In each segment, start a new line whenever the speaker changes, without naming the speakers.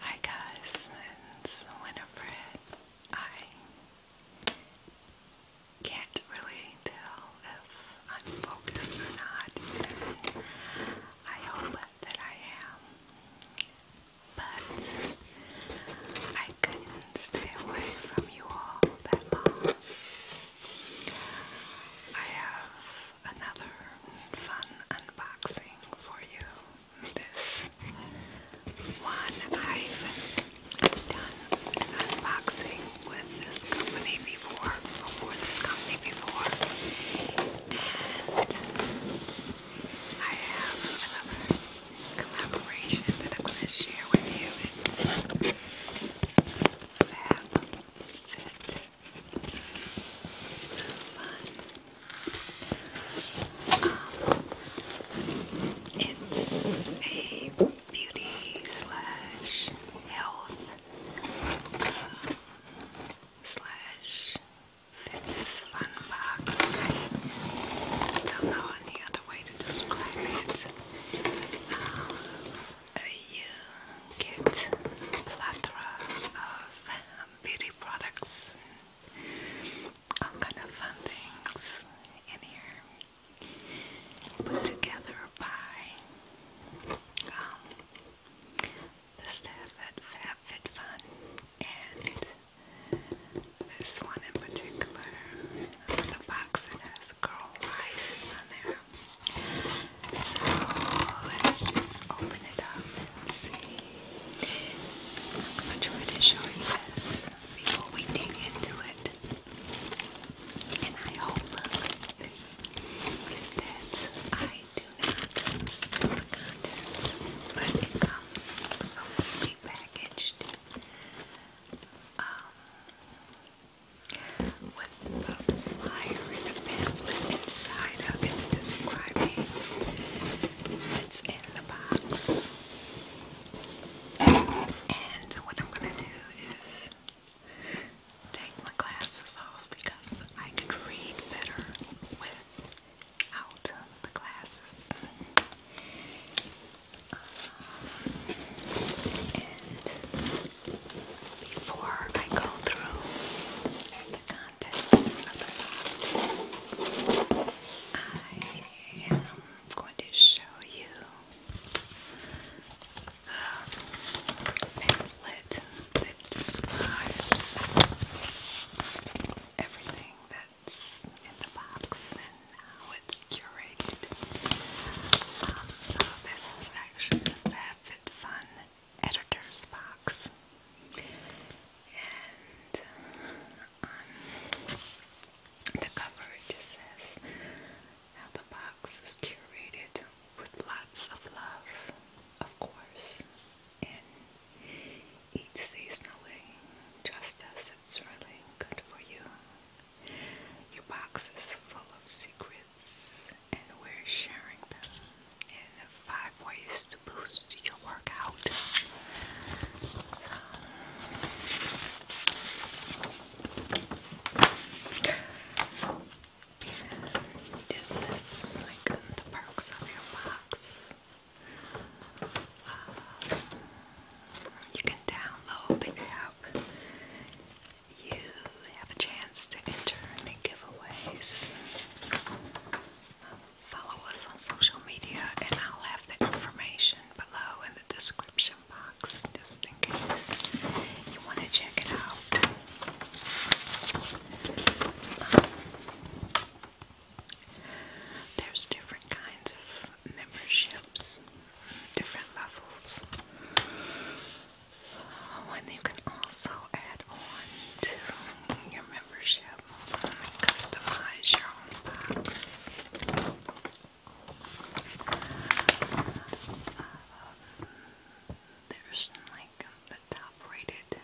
Hi guys, it's Winifred. I can't really tell if I'm focused or not. I hope that I am. But I couldn't stay away from you all I have another fun unboxing for you. This one I've done unboxing with this company before, for this company before, and I have another collaboration that I'm going to share with you. It's Fab it's a beauty slash health uh, slash fitness fun box. I don't know any other way to describe it. you get a of um, beauty products, all kind of fun things in here, put together by um, the staff at FabFitFun, and this one in particular, the box that has girl eyes in there. So let's just open it up and see. I'm gonna you before we dig into it. And I hope that I do not spill the contents, but it comes so neatly packaged. Um, inside of it describing what's in the box. And what I'm gonna do is take my glasses off because I could read better without the glasses before I go through the contents of the box. I am going to show you the pamphlet that describes everything that's in the box and how it's curated. Um, so this is actually the Rapid Fun editor's box. And um, the cover just says how the box is curated with lots of love, of course, and eat seasonally just as it's really good for you. Your box is full of secrets and we're sharing them in five ways to boost your workout. this is like the perks of your box. Uh, you can download the app you have a chance to enter any giveaways, um, follow us on social media, and I'll have the information below in the description box just in case you want to check it out. Um, there's different kinds of memberships, different levels. Oh, and you can also add on to your membership customize your own box. Um, there's like the top rated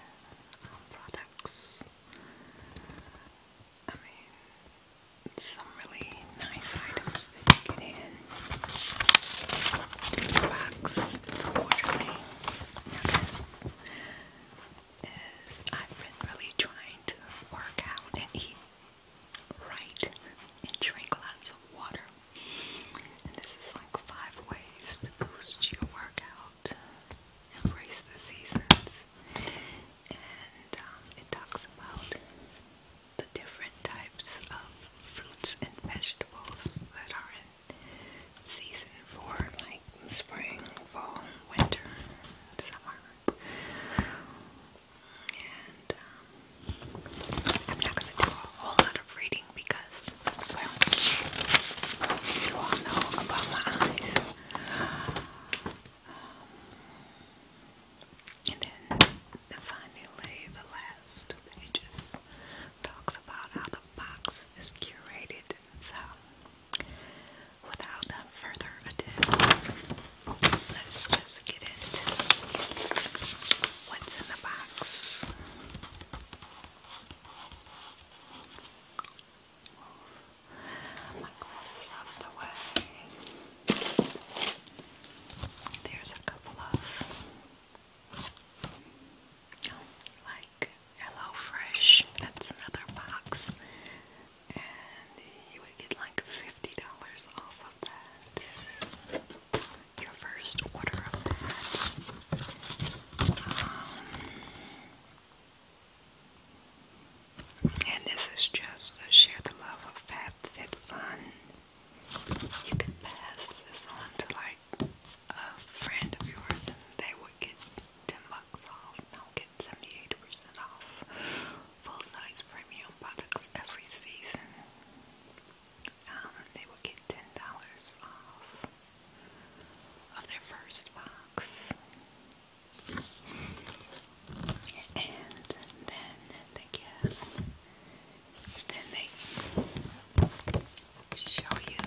um, products. I mean, some really nice items that you get box. It's quarterly. Now this is I've been really trying to work out and eat right and drink lots of water. And this is like five ways to boost your workout. Embrace the seasons. And um, it talks about the different types of fruits and vegetables that are in season for like spring, fall, winter, summer. And um, I'm not going to do a whole lot of reading because, you all know about my eyes. Um, and then and finally, the last page just talks about how the box is curated. So, without further ado, let's just get it. what's in the box. Move my glasses out of the way. There's a couple of like Hello That's another box, and you would get like fifty dollars off of that. Your first order of that. Um, and this is just a share the love of fat, fit, fun you can pass this on to like a friend of yours and they would get 10 bucks off and i get 78% off full size premium products every season. Um, they will get $10 off of their first box. And then they give Stanley show you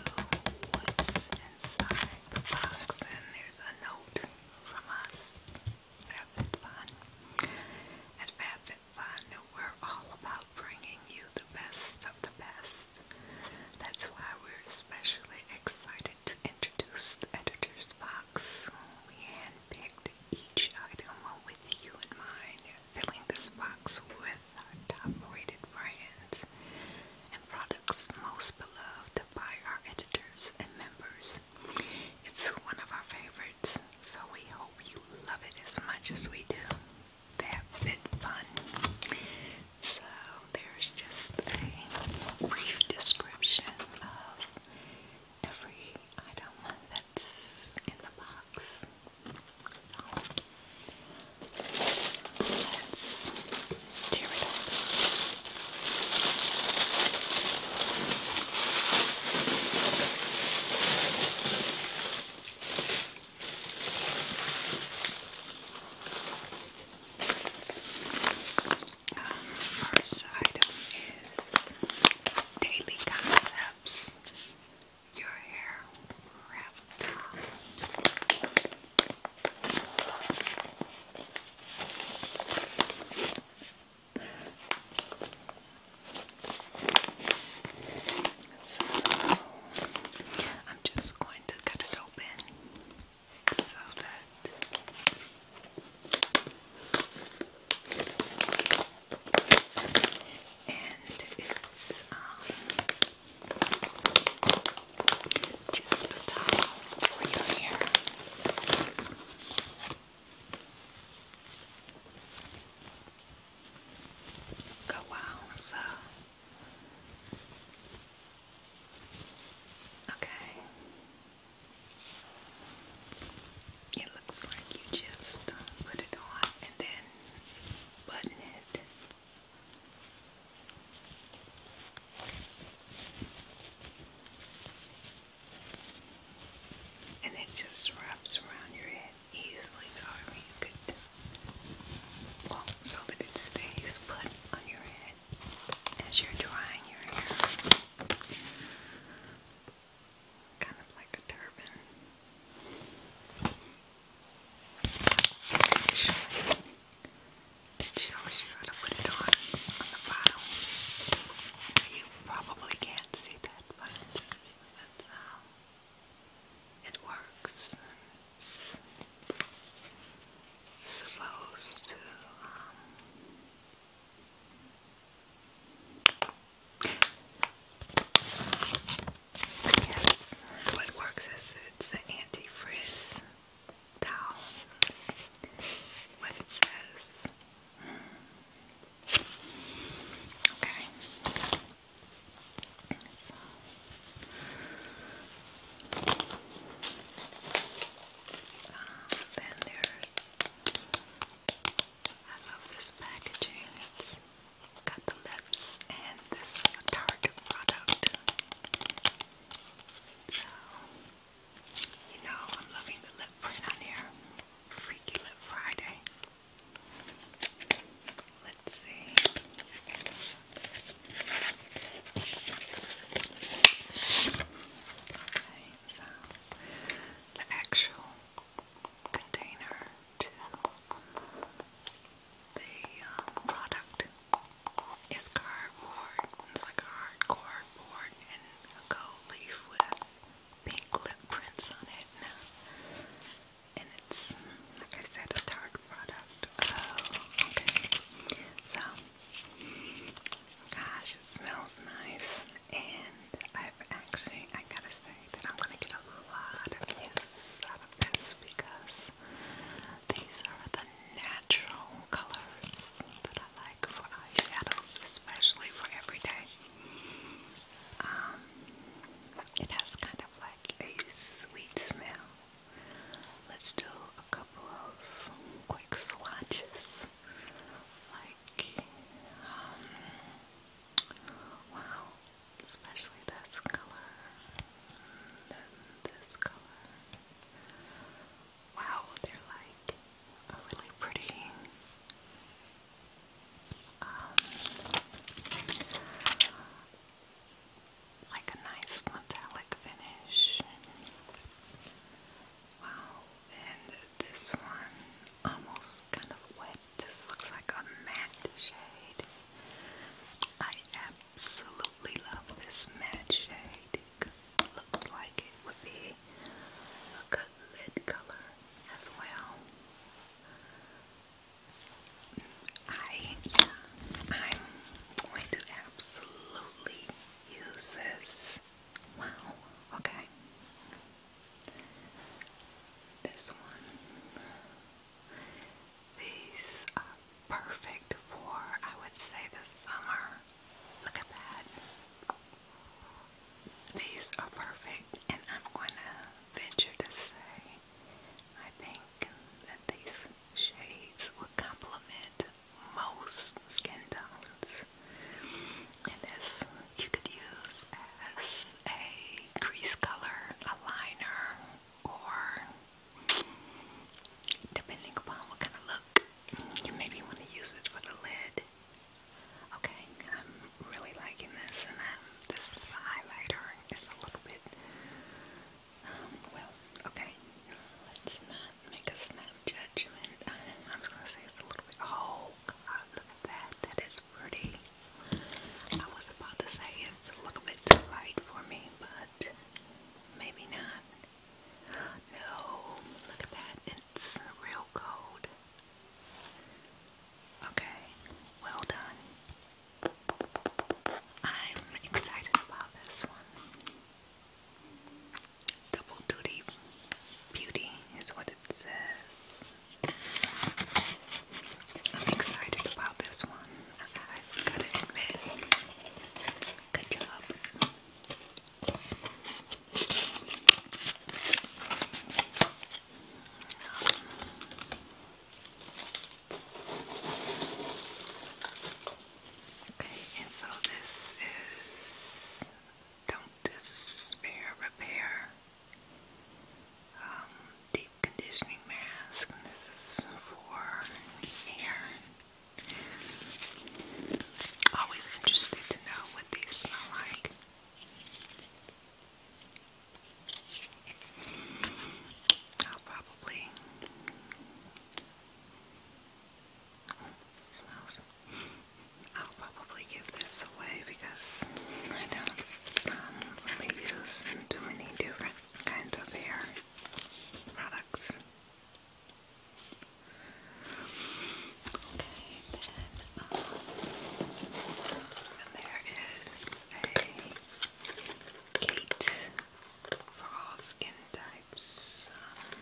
what's inside the box and there's a note from us at FabFitFun. At FabFitFun we're all about bringing you the best of the best. That's why we're especially excited to introduce the editor's box. We handpicked each item with you in mind filling this box with our top-rated brands and products most beloved by our editors and members. It's one of our favorites, so we hope you love it as much as we do. That fit fun. So there's just a brief description of every item in the box. Let's tear it up. first item is Daily Concepts your hair So I'm just going to cut it open so that and it's um, just a towel for your hair. Go on, so. Okay. It looks like you just put it on and then button it. And it just wraps around your head easily, so I you could, well, so that it stays put on your head as you're drying your hair kind of like a turban. it shows you how to put it on on the bottom. You probably can't see that, but that's how it works. It's supposed to um, Yes, what works is it's an anti-frizz towel. what it says. Okay. So. Uh, then there's I love this packaging. It's got the lips, and this is a Tarte product. So, you know, I'm loving the lip print on here. Freaky Lip Friday. Let's see. Okay, so the actual container the um, product is cardboard. It's like hard cardboard and gold leaf with pink lip prints on it. And uh, it's, I said, a Tarte product. Oh, okay. So, gosh, it smells nice and I've actually, I gotta say that I'm gonna get a lot of use out of this because these are the natural colors that I like for eyeshadows, especially for everyday. Um, it has kind of like a sweet smell. Let's do a couple of quick swatches, like, um, wow, especially this color, and this color. Wow, they're like really pretty, um, like a nice metallic finish. Wow, and this one almost kind of wet. This looks like a matte shade. I absolutely love this matte shade because it looks like it would be a good lid color as well. I, I'm going to absolutely use this. Wow, okay. This one. These are perfect for, I would say, the summer. Look at that. These are perfect, and I'm going to venture to say I think that these shades would complement most skin tones and this you could use as a crease color, a liner, or depending upon what kind of look you maybe want to use it for the lid. Okay, I'm really liking this, and then um, this is the highlighter. It's a little bit, um, well, okay, let's not make a snag judgment. I'm just gonna say it's a little bit. Oh, God, look at that. That is pretty. I was about to say it's a little bit too light for me, but maybe not. No, look at that. It's real gold. Okay, well done. I'm excited about this one. Double duty beauty is what it says. I'm excited about this one. I've got to admit. Good job. Okay, and so this is don't despair, repair, um, deep conditioning mask, this is for hair. Always interested to know what these smell like. I'll probably smells I'll probably give this away because I don't um, really use too many different kinds of hair products. Okay, um, and there is a Kate for all skin types. Um,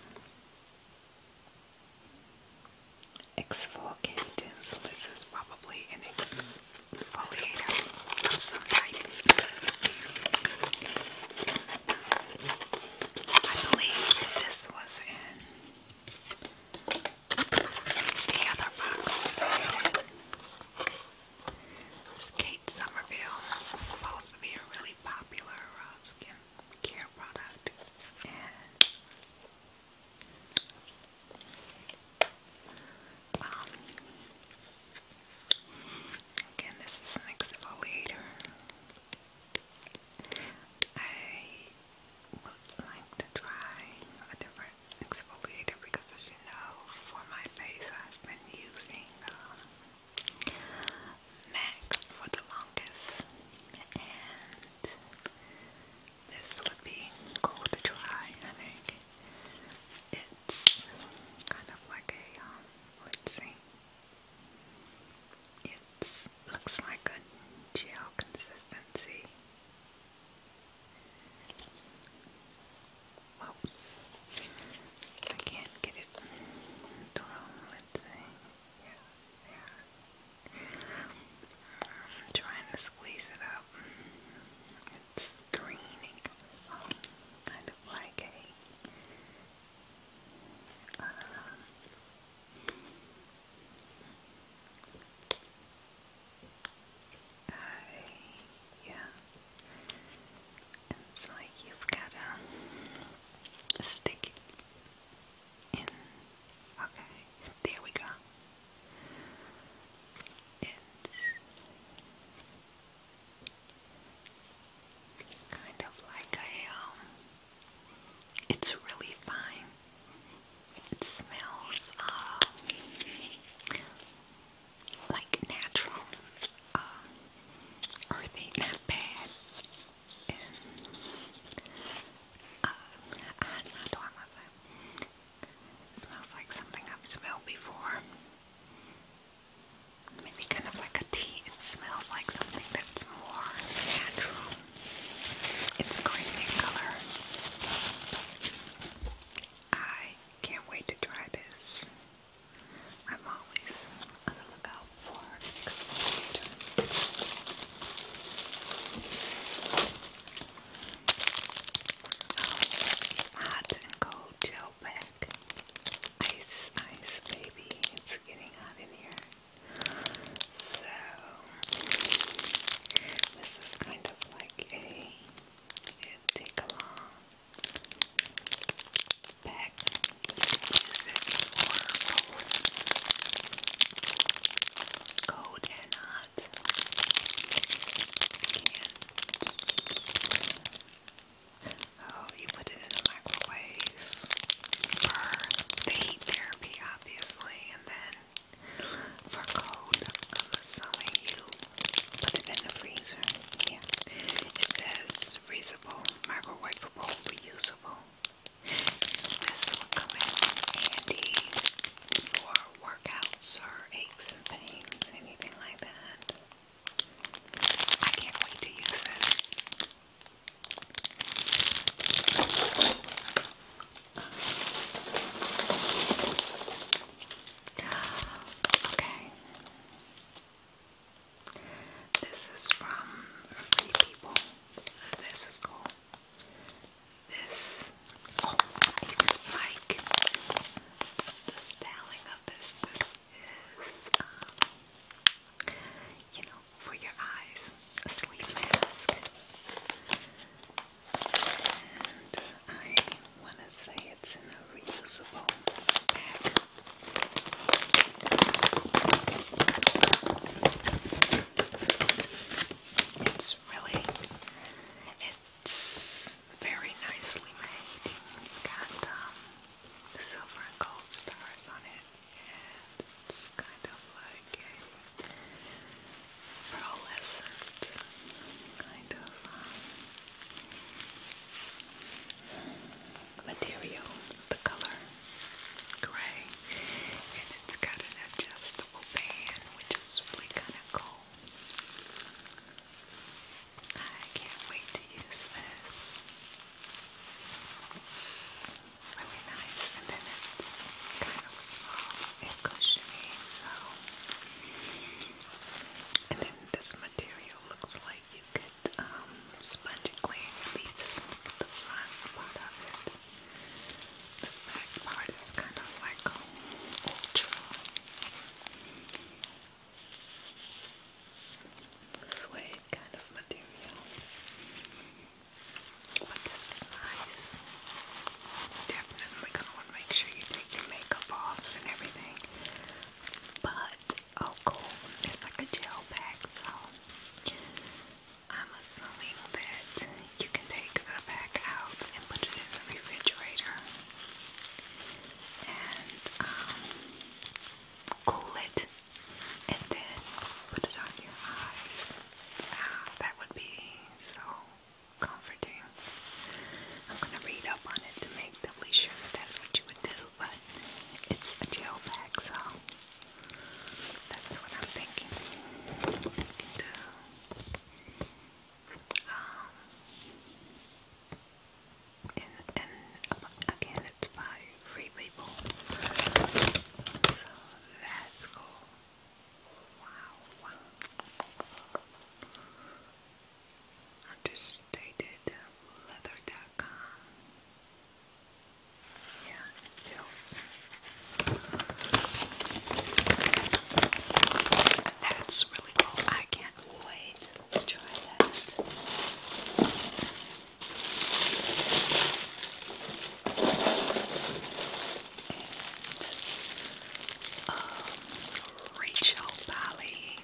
Exfoliant tinsel. This is probably an exfoliator of some type. I believe this was in the other box This is Kate Somerville. This is supposed to be a really popular uh, care product and um, again this is an exfoliator. I would like to try a different exfoliator because as you know for my face I've been using um, neck for the longest, and this would be cool to try. I think it's kind of like a um, let's see, it looks like a gel consistency. Whoops. I can't get it Let's see i trying to squeeze it up. It's greening, kind of like um, a. yeah, it's like you've got a, a okay, there we go. It's kind of like a, um, it's really fine. It smells, um, like natural, um, uh, earthy, not bad it. Smells like something I've smelled before. Maybe kind of like a tea. It smells like something that's more natural. It's a green color. I can't wait to try this. I'm always on the lookout for an exfoliator. hot and cold gel pack. Ice, ice, baby. It's getting hot in here. So, this is kind of like a take along pack. You cold and hot. You oh, you put it in the microwave for heat therapy, obviously, and then for cold, I'm you put it in the freezer. Yeah, it says reusable, microwavable, reusable. So this will come in handy for workouts or aches and pains, anything like that. I can't wait to use this. Okay. This is from Free People. This is cool. This, oh, I like the styling of this. This is, um, you know, for your eyes, a sleep mask. And I want to say it's in a reusable bag. It's really, it's very nicely made. It's got um, silver and gold stars on it, and it's kind of like a pearlescent kind of um, material the color gray, and it's got an adjustable band, which is really kind of cool. I can't wait to use this. really nice, and then it's kind of soft and cushiony, so. And then this material looks like you could um, spongically release the front part of it. This back part is kind of like ultra. Suede kind of material. But this is nice. Definitely gonna want to make sure you take your makeup off and everything. But Oh, cool. It's like a gel pack, so I'm assuming that you can take the pack out and put it in the refrigerator and um, cool it and then put it on your eyes. Ah, that would be so comforting. I'm going to read up on it to make doubly sure that that's what you would do but it's a gel pack, so that's what I'm thinking. I can do um, and again, it's by free people, so that's cool. Wow, wow. Yeah, feels. That's really cool. I can't wait to try that. Um, Rachel Bally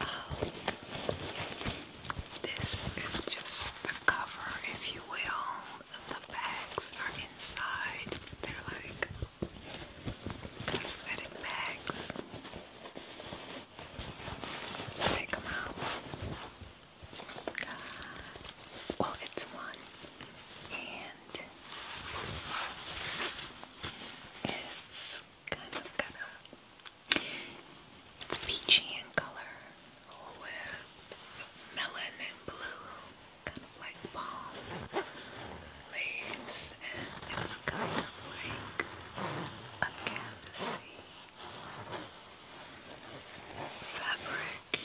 Um, this is just the cover, if you will. The bags are inside. They're like cosmetic bags. Let's take them out. Uh, it's one, and it's kind of kind of it's peachy in color with melon and blue, kind of like palm leaves, it's kind of like a canvasy fabric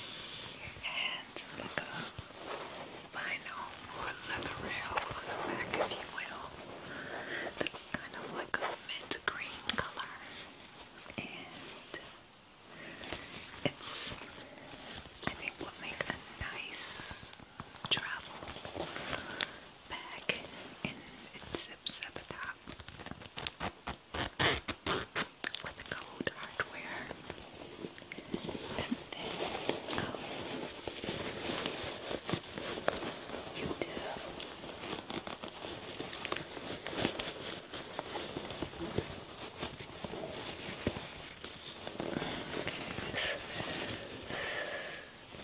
and like a vinyl or leatherette on the back, if you will. That's kind of like a mint green color, and it's I think will make a nice travel bag, and it zips top with gold hardware, um, you do this is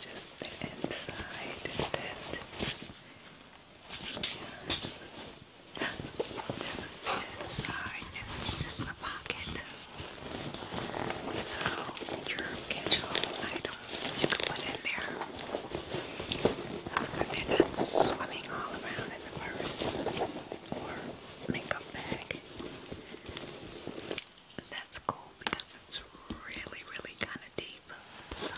just the inside of it. Yeah. This is the inside, and it's just a pocket. So your catch-all item you can put in there so that they're not swimming all around in the purse or makeup bag. That's cool because it's really, really kind of deep. So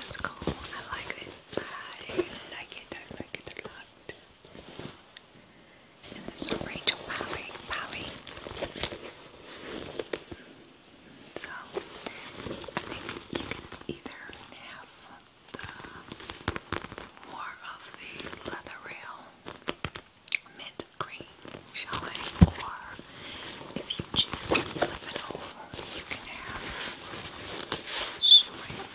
that's cool. I like it. I like it. I like it a lot. And this is Rachel Polly. So I think you can either have more of the leather rail mint green showing, or if you choose to flip it over, you can have showing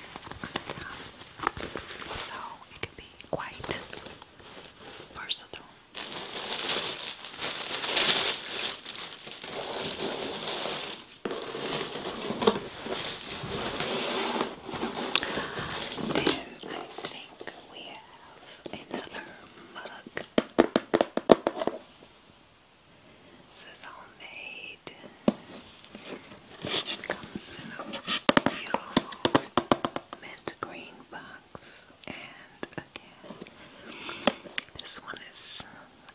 So it can be quite versatile. And I think we have another mug. This is all made. It comes in a beautiful mint green box. And again, this one is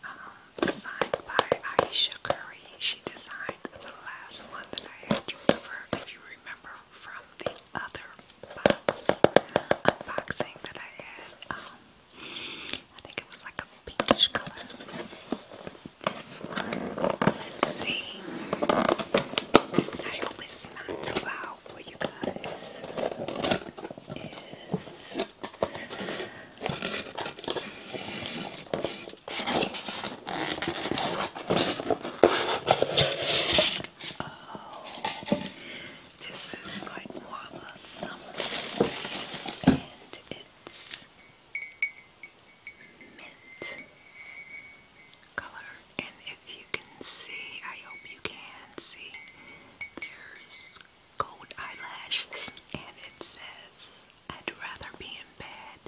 um, designed by Aisha Curry. She designed the last one that I had you over, if you remember, from the other box unboxing that I had. Um, I think it was like a pinkish color. This one, let's see. I hope it's not loud out is oh, this is like Wama Summer, and it's mint color. And if you can see, I hope you can see, there's gold eyelashes and it says, I'd rather be in bed.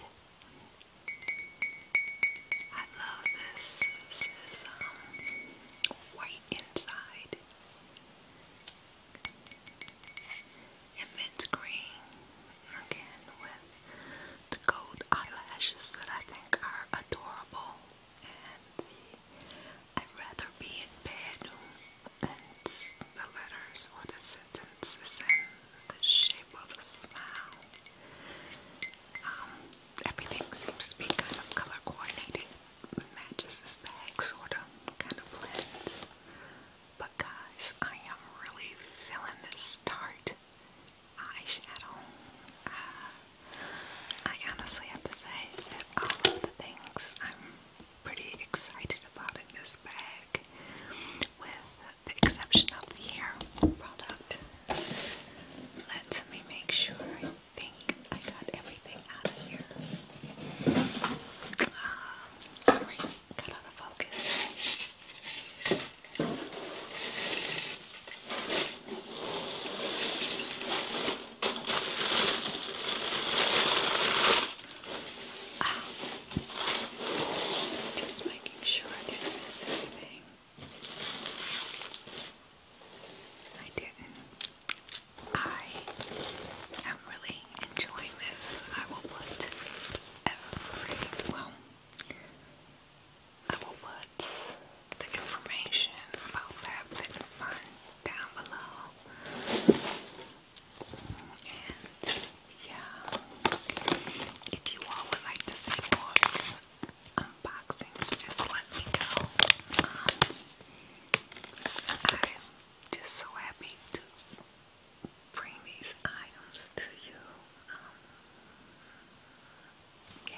I love this. This um, white inside and mint green again with the gold eyelashes that I think are adorable and I'd rather be in bed and the letters or the sentence is the shape of a smile. Um, everything seems to be kind of color coordinated. matches this bag, sort of, kind of blends. But guys, I am really feeling this start eyeshadow. Uh, I honestly have to say that all of the things I'm pretty excited about in this bag, with the exception of the hair product. Let me make sure I think I got everything out of here. Um, sorry, got out of focus. Ah. Just making sure I didn't miss anything. I didn't. I am really enjoying this. I will put every well I will put the information about that fit down below. And yeah, if you all would like to see more unboxings, just let me know. Um, I'm just so happy to bring these items to you. Um, yeah.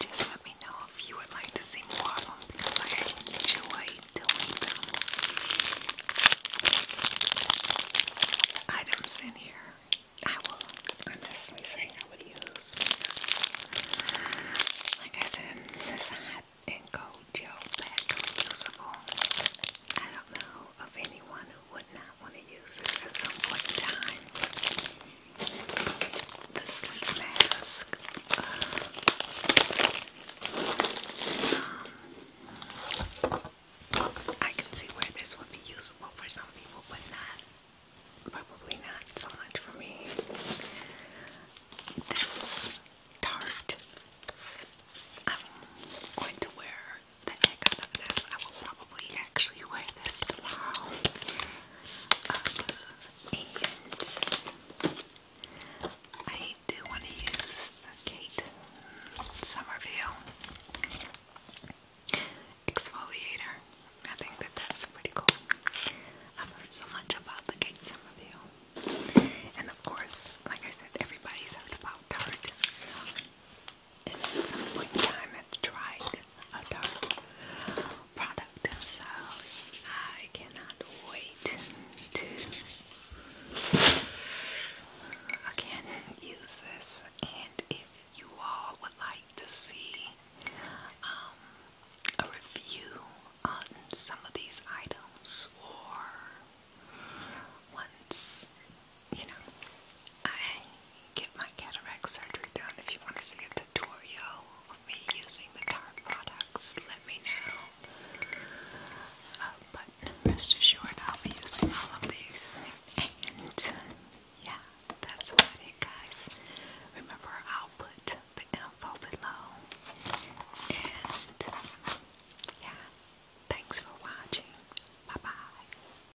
Just let me know if you would like to see more of them because I enjoy doing them. Items in here, I will honestly say I would use like I said, this hot and cold gel pack is usable. I don't know of anyone who not want to use this at some time. The mask. Uh, I can see where this would be useful for some people, but not probably not so much for me. This tart, I'm going to wear the heck out of this. I will probably actually wear um, and I do want to use the Kate Somerville exfoliator. I think that that's pretty cool. I've heard so much about the Kate Somerville. And of course, like I said, everybody's heard about Tarte and at some point I've tried a dark product, so I cannot wait to again use this. And if you all would like to see um, a review on some of these items, or once you know, I get my cataract surgery done. If you want to see a tutorial on me using the Tarte products, let me know. Uh, but rest assured, I'll be using all of these. And yeah, that's about it, guys. Remember, I'll put the info below. And yeah, thanks for watching. Bye bye.